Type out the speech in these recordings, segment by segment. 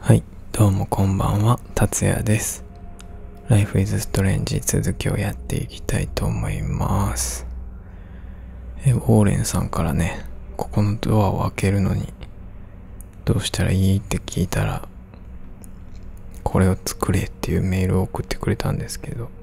はいどうもこんばんは達也です Life is s t r a 続きをやっていきたいと思いますえウォーレンさんからねここのドアを開けるのにどうしたらいいって聞いたらこれを作れっていうメールを送ってくれたんですけど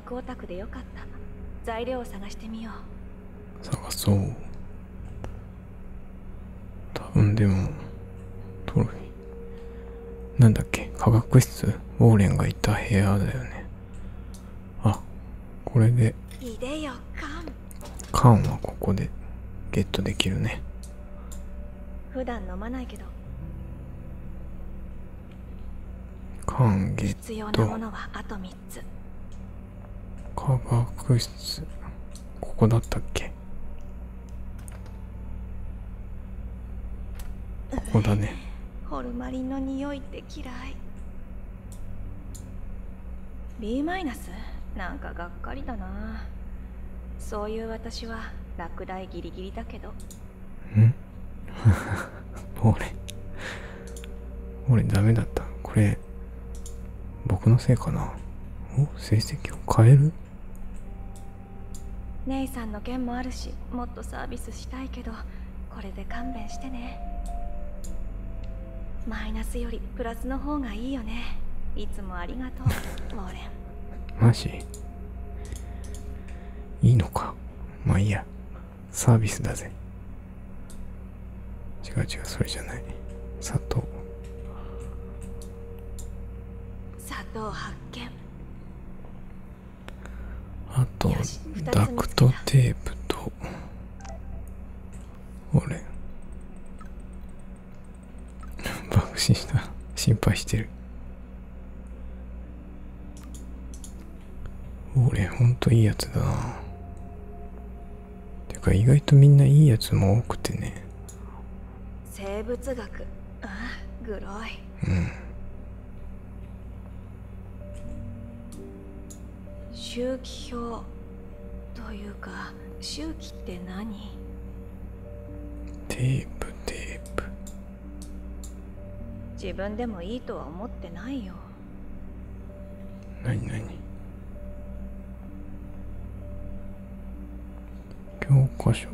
長くでよかった材料を探してみよう探そう多分でもトロフィーなんだっけ科学室ウォーレンがいた部屋だよねあこれで缶はここでゲットできるね普段飲まないけど換気必ものはあと3つ化学室ここだったっけここだね ホルマリンの匂いって嫌い B マイナスなんかがっかりだなそういう私は落第ギリギリだけどん 俺、俺ダメだった。これ、僕のせいかな。お、成績を変える姉さんの件もあるし、もっとサービスしたいけど、これで勘弁してね。マイナスよりプラスの方がいいよね。いつもありがとう、ウレン。マジいいのかまあいいや。サービスだぜ。違う違う、それじゃない。砂糖。砂糖発見。あと、ダクトテープと、俺。爆死した。心配してる。俺ほんといいやつだなてか意外とみんないいやつも多くてね生物学あグロいうん周期表というか周期って何テープテープ自分でもいいとは思ってないよ何何教科書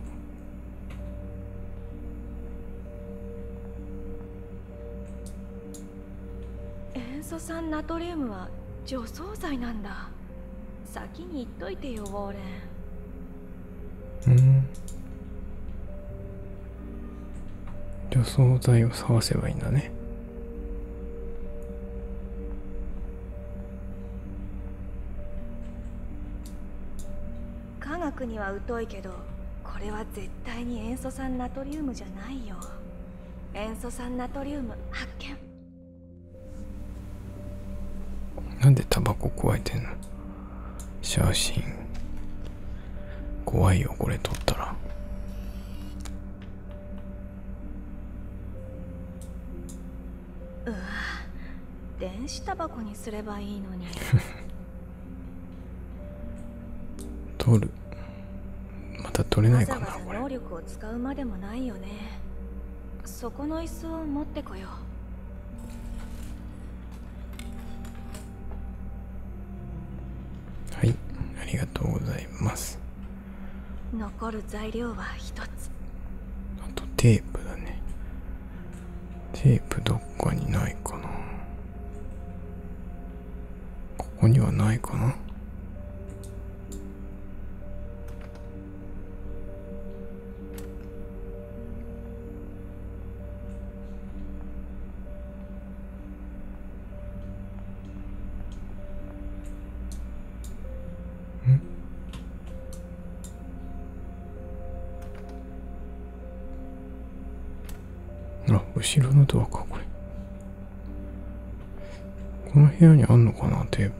塩素酸ナトリウムは除草剤なんだ先に言っといてよウォーレンうん。除草剤をさわせばいいんだね。化学には疎いけど、これは絶対に塩素酸ナトリウムじゃないよ。塩素酸ナトリウム発見。なんでタバコわえてんの写真怖いよこれ撮ったらうわ電子タバコにすればいいのに 取るまた取れないかなこれ能力を使うまでもないよねそこの椅子を持ってこようはいありがとうございます残る材料は1つあとテープだねテープどっかにないかなここにはないかなあ、後ろのドアか、これ。この部屋にあんのかな、テープ。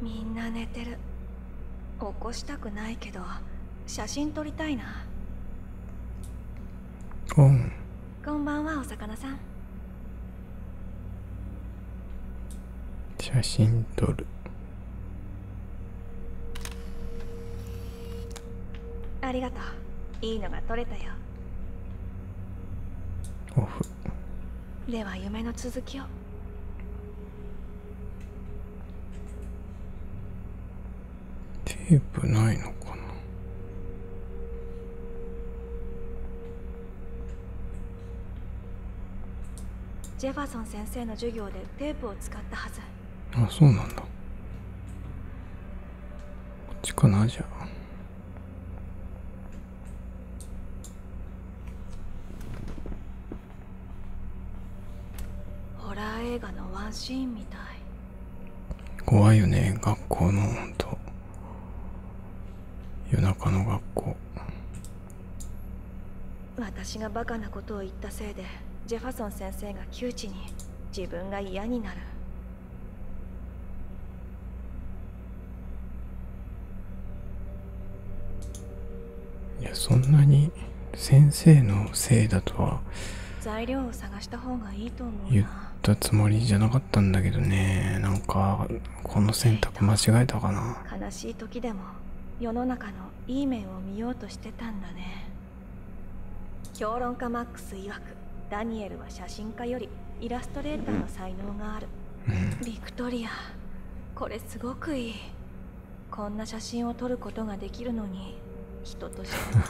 みんな寝てる起こしたくないけど写真撮りたいなこんばんはお魚さん写真撮るありがとういいのが撮れたよオフでは夢の続きをテープないのかなジェファソン先生の授業でテープを使ったはずあそうなんだこっちかなじゃあホラー映画のワンシーンみたい怖いよね学校のほんと夜中の学校私がバカなことを言ったせいでジェファソン先生が窮地に自分が嫌になるいやそんなに先生のせいだとは材料を探した方がいいと思う言ったつもりじゃなかったんだけどねなんかこの選択間違えたかな悲しい時でも世の中のいい面を見ようとしてたんだね評論家マックスくダニエルは写真家よりイラストレーターの才能がある、ビクトリアこれすごくいいこんな写真を撮ることができるのに人としては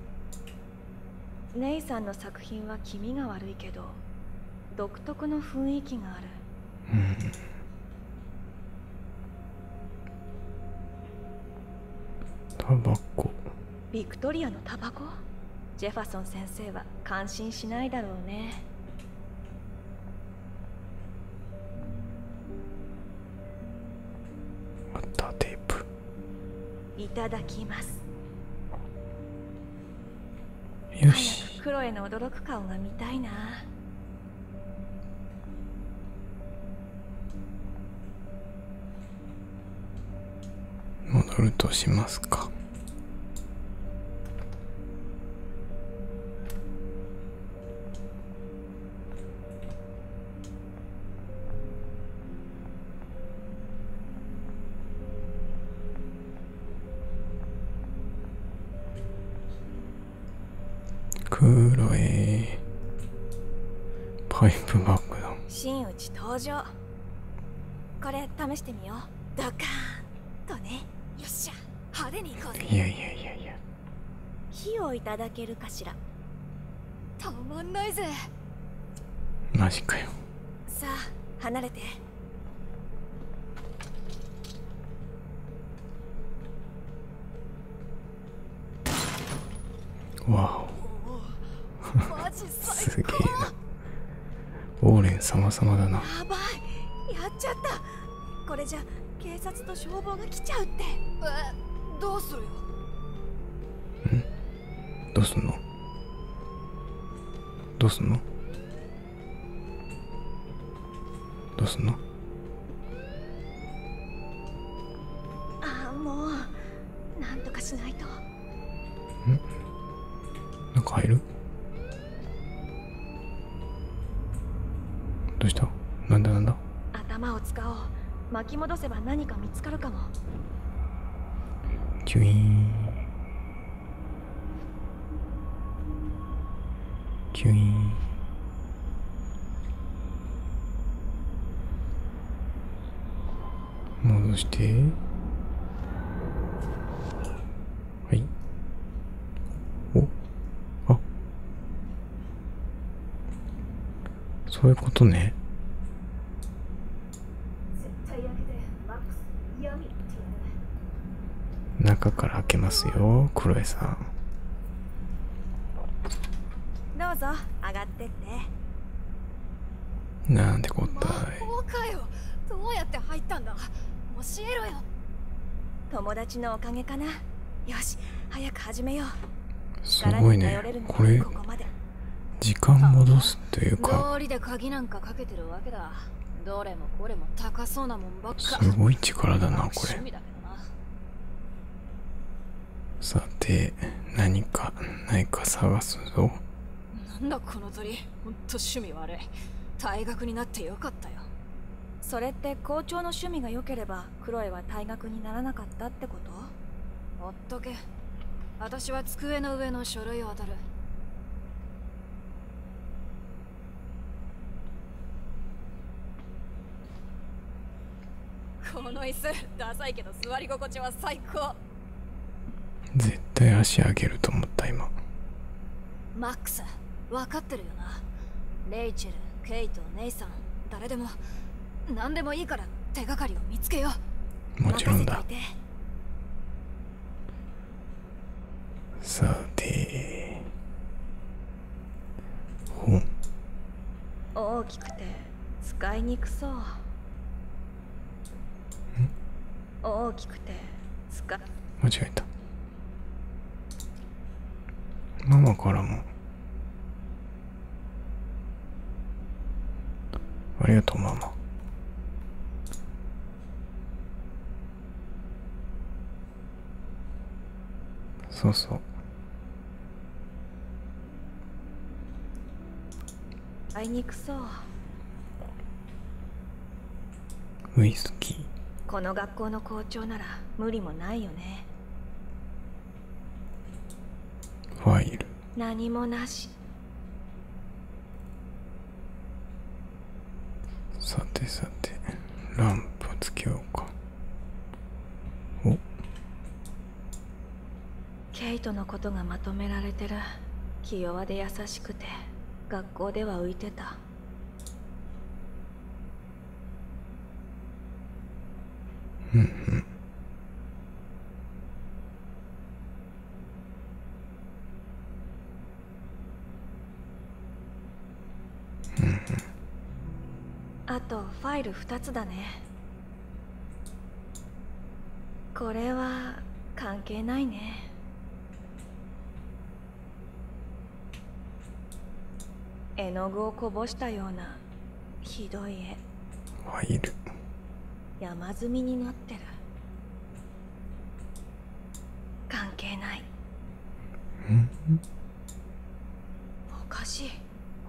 ネイさんの作品は気が悪いけど独特の雰囲気があるタバコビクトリアのタバコジェファソン先生は感心しないだろうねまたテープいただきますよしクロエの驚く顔が見たいな戻るとしますか黒いパイプバッグだ真打登場これ試してみようドカンとねよっしゃ派手に行こういやいやいやいや火をいただけるかしらたまんないぜマジかよさあ離れてわお すげえなオーレン様様だなやばいやっちゃったこれじゃ警察と消防が来ちゃうってどうするよんどうすんのどうすんのどうすんのあもうなんとかしないとんなんか入るどうしたなんだなんだ頭を使おう巻き戻せば何か見つかるかもキュイーキュイ戻してはいおあそういうことね中から開けますよ黒江さんどうぞ上ががてなんてこっかよどうやって入ったんだ教えろよ友達のおかげかなよし早く始めようすごいねこれ時間戻すっていうか通りで鍵なんかかけてるわけだどれもこれも高そうなもんばっかすごい力だなこれさて何かないか探すぞなんだこの鳥ほんと趣味悪い退学になってよかったよそれって校長の趣味が良ければクロエは退学にならなかったってことほっとけ私は机の上の書類を渡るこの椅子ダサいけど座り心地は最高絶対足上げると思った今マックス分かってるよなレイチェルケイトネイさん誰でも何でもいいから手がかりを見つけようもちろんださて大きくて使いにくそう大きくて使間違えたママからもありがとうママそうそうあいにくそうウイスキーこの学校の校長なら無理もないよねファイル何もなしさてさてランプつけようかおケイトのことがまとめられてる気弱で優しくて学校では浮いてたあとファイル2つだねこれは関係ないね絵の具をこぼしたようなひどい絵ワイル山積みになってる関係ないん。おかしい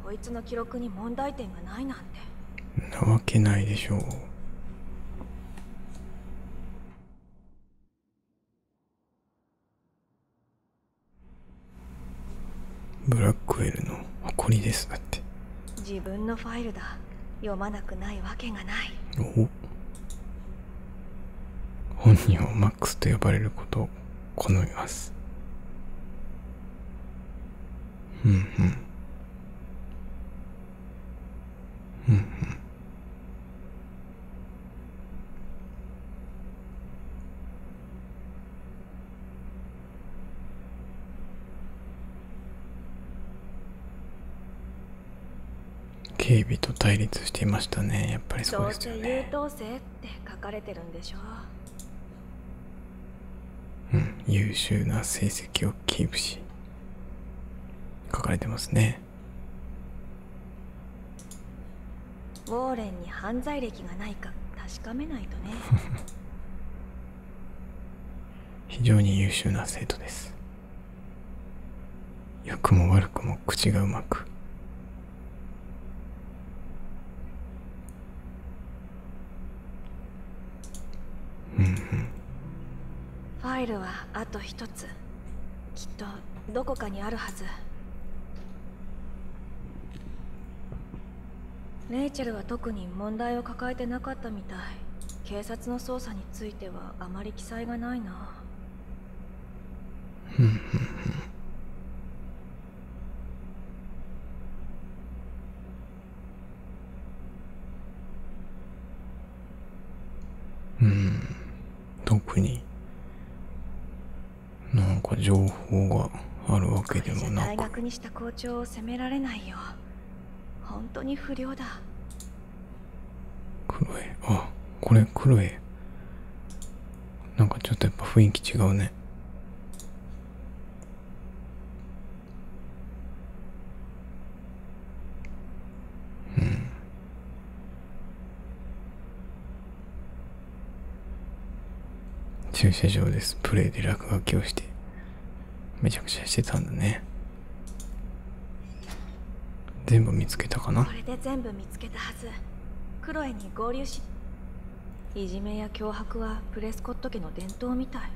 こいつの記録に問題点がないなんてなわけないでしょうブラックウェルの誇りですだって自分のファイルだ読まなくないわけがない本人はマックスと呼ばれること好みますうんうんうんうん警備と対立していましたねやっぱりそうですよね。う優等生って書かれてるんでしょう。うん優秀な成績をキープし書かれてますねウォーレンに犯罪歴がないか確かめないとね 非常に優秀な生徒です良くも悪くも口がうまくうんうファイルはあと1つきっとどこかにあるはずレイチェルは特に問題を抱えてなかったみたい警察の捜査についてはあまり記載がないなうん、特になんか情報があるわけでもなく大学にした校長を責められないよ本当に不良だクロあこれ黒ロエなんかちょっとやっぱ雰囲気違うねうん。駐車場でスプレーで落書きをしてめちゃくちゃしてたんだね全部見つけたかなこれで全部見つけたはずクロエに合流しいじめや脅迫はプレスコット家の伝統みたい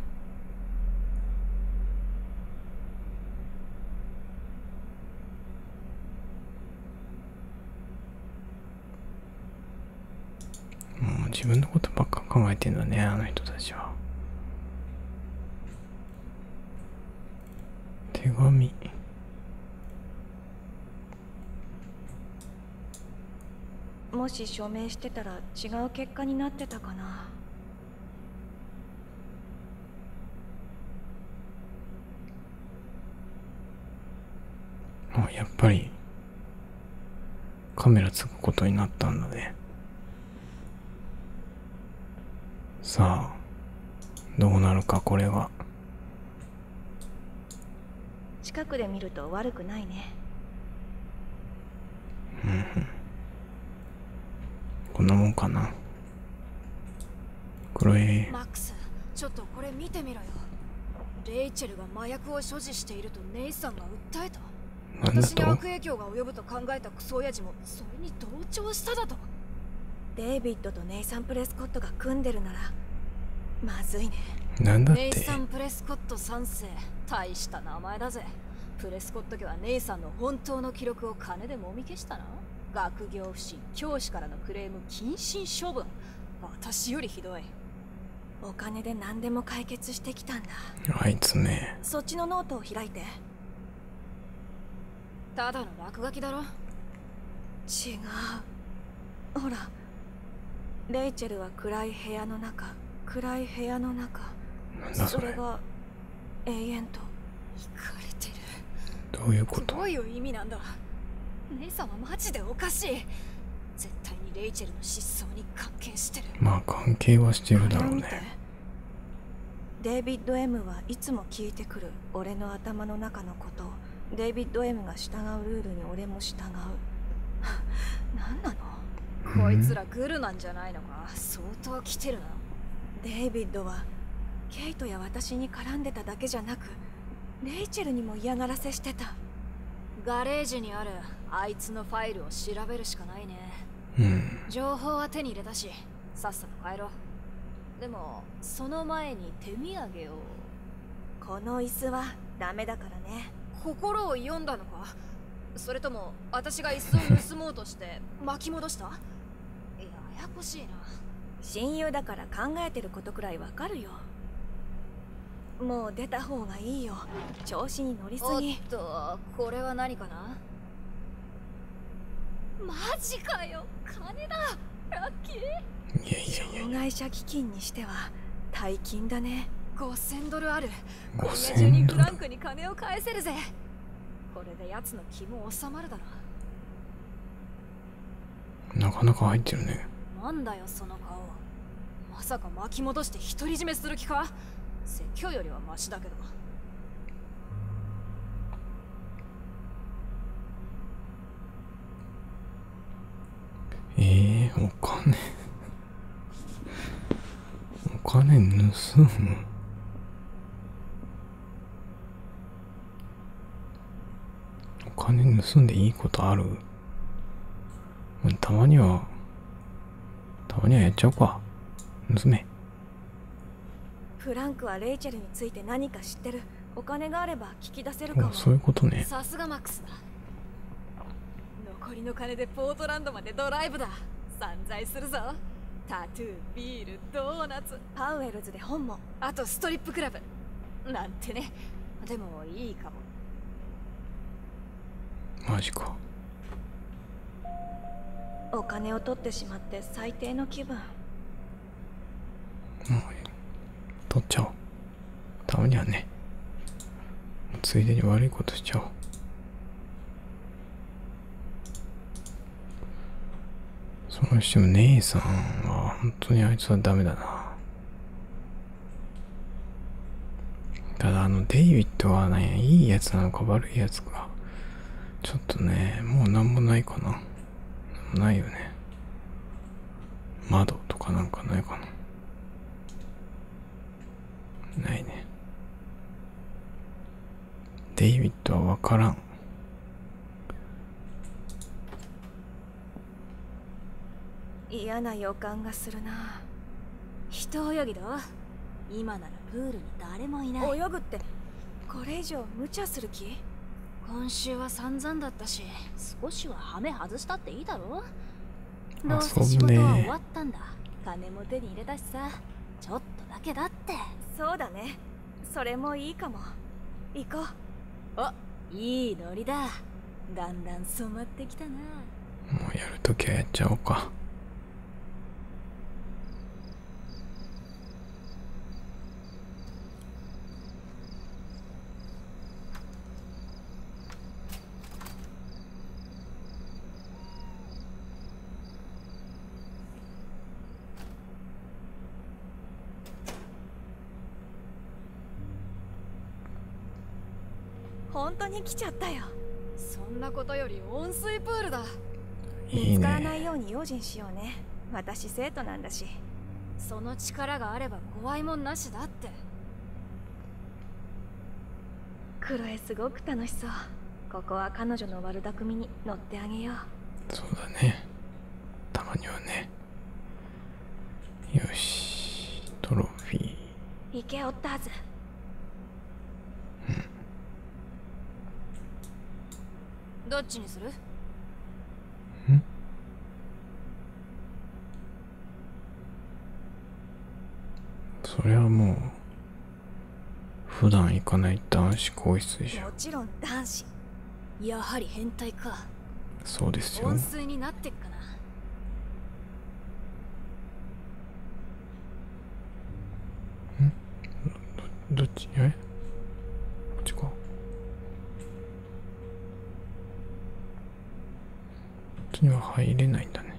もう自分のことばっか考えてんだねあの人たちは手紙もし署名してたら違う結果になってたかなあやっぱりカメラつくことになったんだねさあどうなるかこれは近くで見ると悪くないねこんなもんかな黒いマックスちょっとこれ見てみろよレイチェルが麻薬を所持しているとネイさんが訴えた私に悪だ。響が及ぶと考えたクソ親父もそうに同調しただとデイビッドとネイサン・プレスコットが組んでるならまずいねなんだってネイサン・プレスコット3世大した名前だぜプレスコット家はネイサンの本当の記録を金でもみ消したな学業不振教師からのクレーム謹慎処分私よりひどいお金で何でも解決してきたんだあいつねそっちのノートを開いてただの落書きだろ違うほらレイチェルは暗い部屋の中暗い部屋の中それが永遠と行かれてるどういうことどういう意味なんだ姉さんはまジでおかしい絶対にレイチェルの失踪に関係してるまあ関係はしてるだろうねデイビッド・エムはいつも聞いてくる俺の頭の中のことデイビッド・エムが従うルールに俺も従う 何なのこいつらグルなんじゃないのか相当来てるなデイビッドはケイトや私に絡んでただけじゃなくレイチェルにも嫌がらせしてたガレージにあるあいつのファイルを調べるしかないね、情報は手に入れたしさっさと帰ろうでもその前に手土産をこの椅子はダメだからね心を読んだのかそれとも私が椅子を盗もうとして 巻き戻したややこしいな親友だから考えてることくらいわかるよもう出た方がいいよ調子に乗りすぎおっとこれは何かなマジかよ金だ障害者基金にしては大金だね5000ドルある今夜中にフランクに金を返せるぜこれで奴の気も収まるだろなかなか入ってるねなんだよその顔まさか巻き戻して独り占めする気か説教よりはマシだけどええお金お金盗むお金盗んでいいことあるたまにはたまにはやっちゃおうか盗めフランクはレイチェルについて何か知ってるお金があれば聞き出せるかそういうことねさすがマックスだ残りの金でポートランドまでドライブだ散財するぞタトゥービールドーナツパウエルズで本もあとストリップクラブなんてねでもいいかもマジかお金を取ってしまって最低の気分もう取っちゃおうたまにはねついでに悪いことしちゃおうその人も姉さんは本当にあいつはダメだなただあのデイビッドはねいいやつなのか悪いやつかちょっとねもうなんもないかなないよね窓とかなんかないかなないねデイビッドは分からん嫌な予感がするな人泳ぎだ今ならプールに誰もいない泳ぐってこれ以上無茶する気今週は散々だったし少しはハ外したっていいだろうせ仕事終わったんだ金も手に入れたしさちょっとだけだってそうだねそれもいいかも行こうあいいノリだだんだん染まってきたなもうやるときはやちゃおうか本当に来ちゃったよそんなことより温水プールだ見つからないように用心しようね私生徒なんだしその力があれば怖いもんなしだってクロエすごく楽しそうここは彼女の悪巧みに乗ってあげようそうだねたまにはねよしトロフィー行けおったはずどっちにするうんそれはもう普段行かない男子更衣室でしょもちろん男子やはり変態かそうですよ温水になってっかなどっちえこっちかには入れないんだね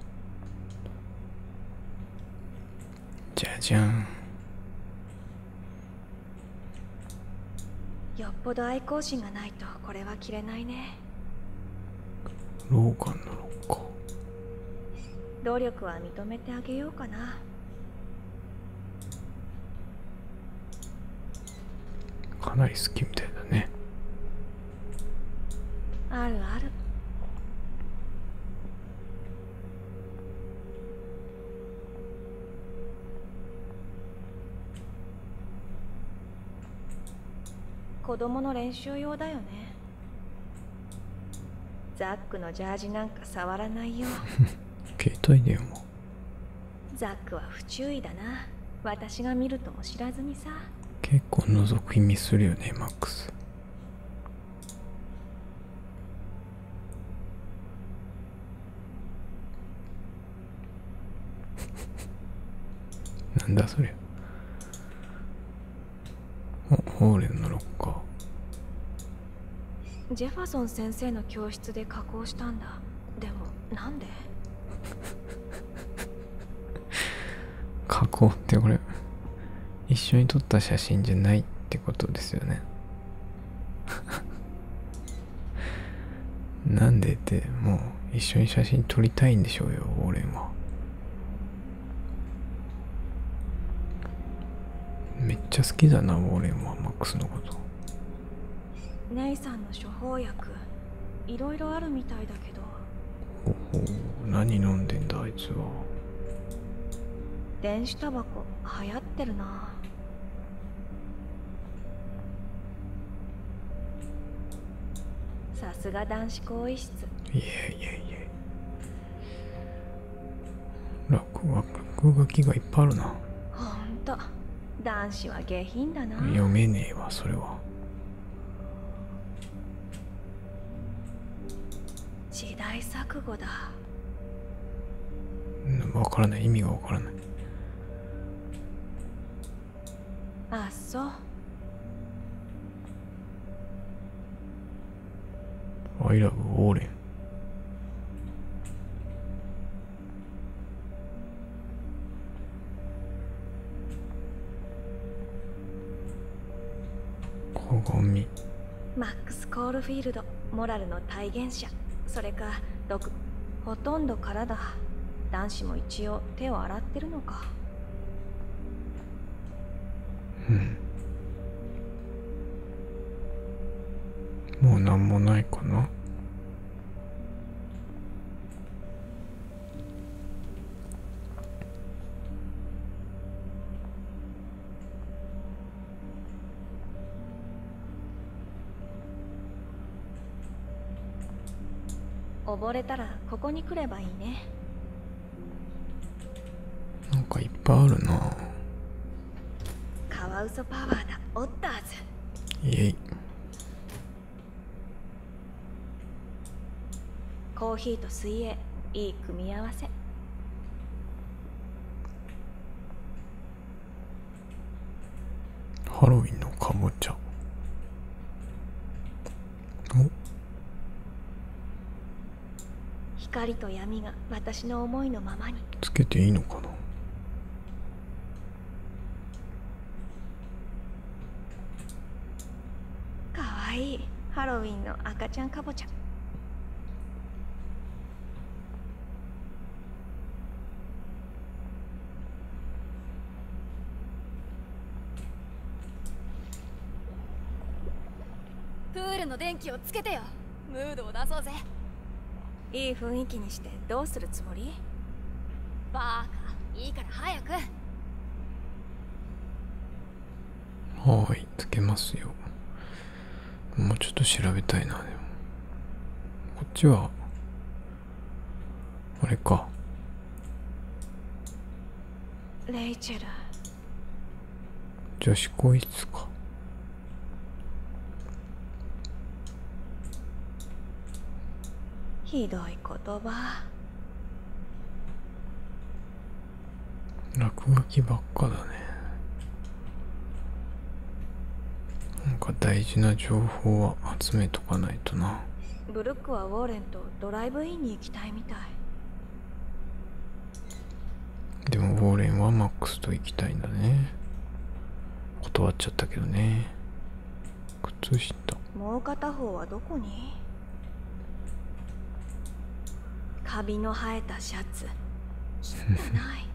じゃじゃんよっぽど愛好心がないとこれは着れないね老眼の老か労力は認めてあげようかなかなり好きみたいだねあるある子供の練習用だよねザックのジャージなんか触らないよ 携帯電話ザックは不注意だな私が見るとも知らずにさ結構覗く意味するよねマックス なんだそれ。ゃホーレンのロッカージェファソン先生の教室。質で加工したんだでもなんで 加工ってこれ一緒に撮った写真じゃないってことですよね なんでってもう一緒に写真撮りたいんでしょうよ俺はめっちゃ好きだな俺はマックスのこと姉さんの処方薬いろいろあるみたいだけどほほ何飲んでんだあいつは電子タバコ流行ってるなさすが男子更衣室いえいえいえ落書きがいっぱいあるなほん男子は下品だな読めねえわそれは時代錯誤だわからない意味がわからないあそうアイラブ・オーレン鏡マックス・コールフィールドモラルの体現者それか毒ほとんど体。男子も一応手を洗ってるのかもう何もないかな溺れたらここに来ればいいねなんかいっぱいあるなカワウソパワーだおったぜイエイコーヒーと水泳いい組み合わせハロウィンのかぼちゃ光と闇が私の思いのままにつけていいのかなかわいいハロウィンの赤ちゃんカボチャ。プールの電気をつけてよムードを出そうぜいい雰囲気にしてどうするつもりバカいいから早くはいつけますよもうちょっと調べたいなこっちはあれかレイチェル女子更衣室かひどい言葉落書きばっかだねなんか大事な情報は集めとかないとなブルックはウォレンとドライブインに行きたいみたいでもウォーレンはマックスと行きたいんだね断っちゃったけどね靴下もう片方はどこにカビの生えたシャツない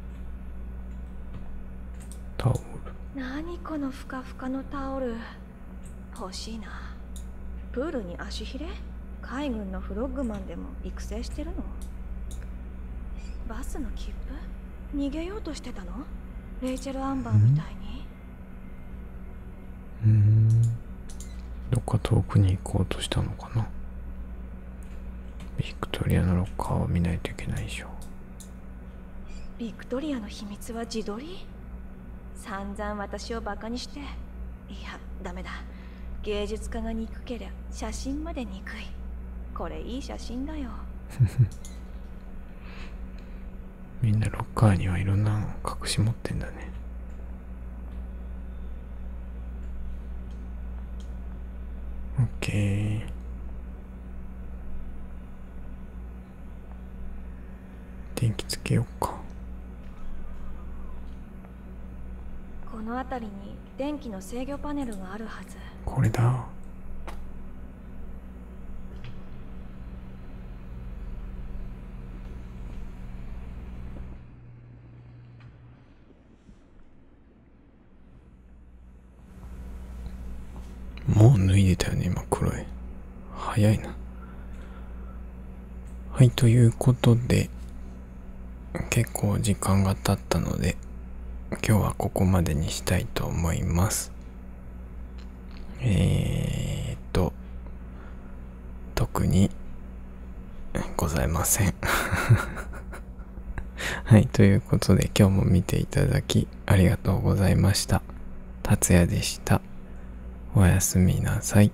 タオル何このふかふかのタオル欲しいなプールに足ひれ海軍のフロッグマンでも育成してるのバスの切符逃げようとしてたのレイチェル・アンバーみたいにうんどっか遠くに行こうとしたのかなビクトリアのロッカーを見ないといけないでしょビクトリアの秘密は自撮り散々私をバカにしていやダメだ芸術家が憎けりゃ写真まで憎いこれいい写真だよ みんなロッカーにはいろんな隠し持ってんだねオッケー電気つけようかこの辺りに電気の制御パネルがあるはずこれだもう脱いでたよね今黒い早いなはいということで結構時間が経ったので今日はここまでにしたいと思いますえっと特にございません はいということで今日も見ていただきありがとうございました達也でしたおやすみなさい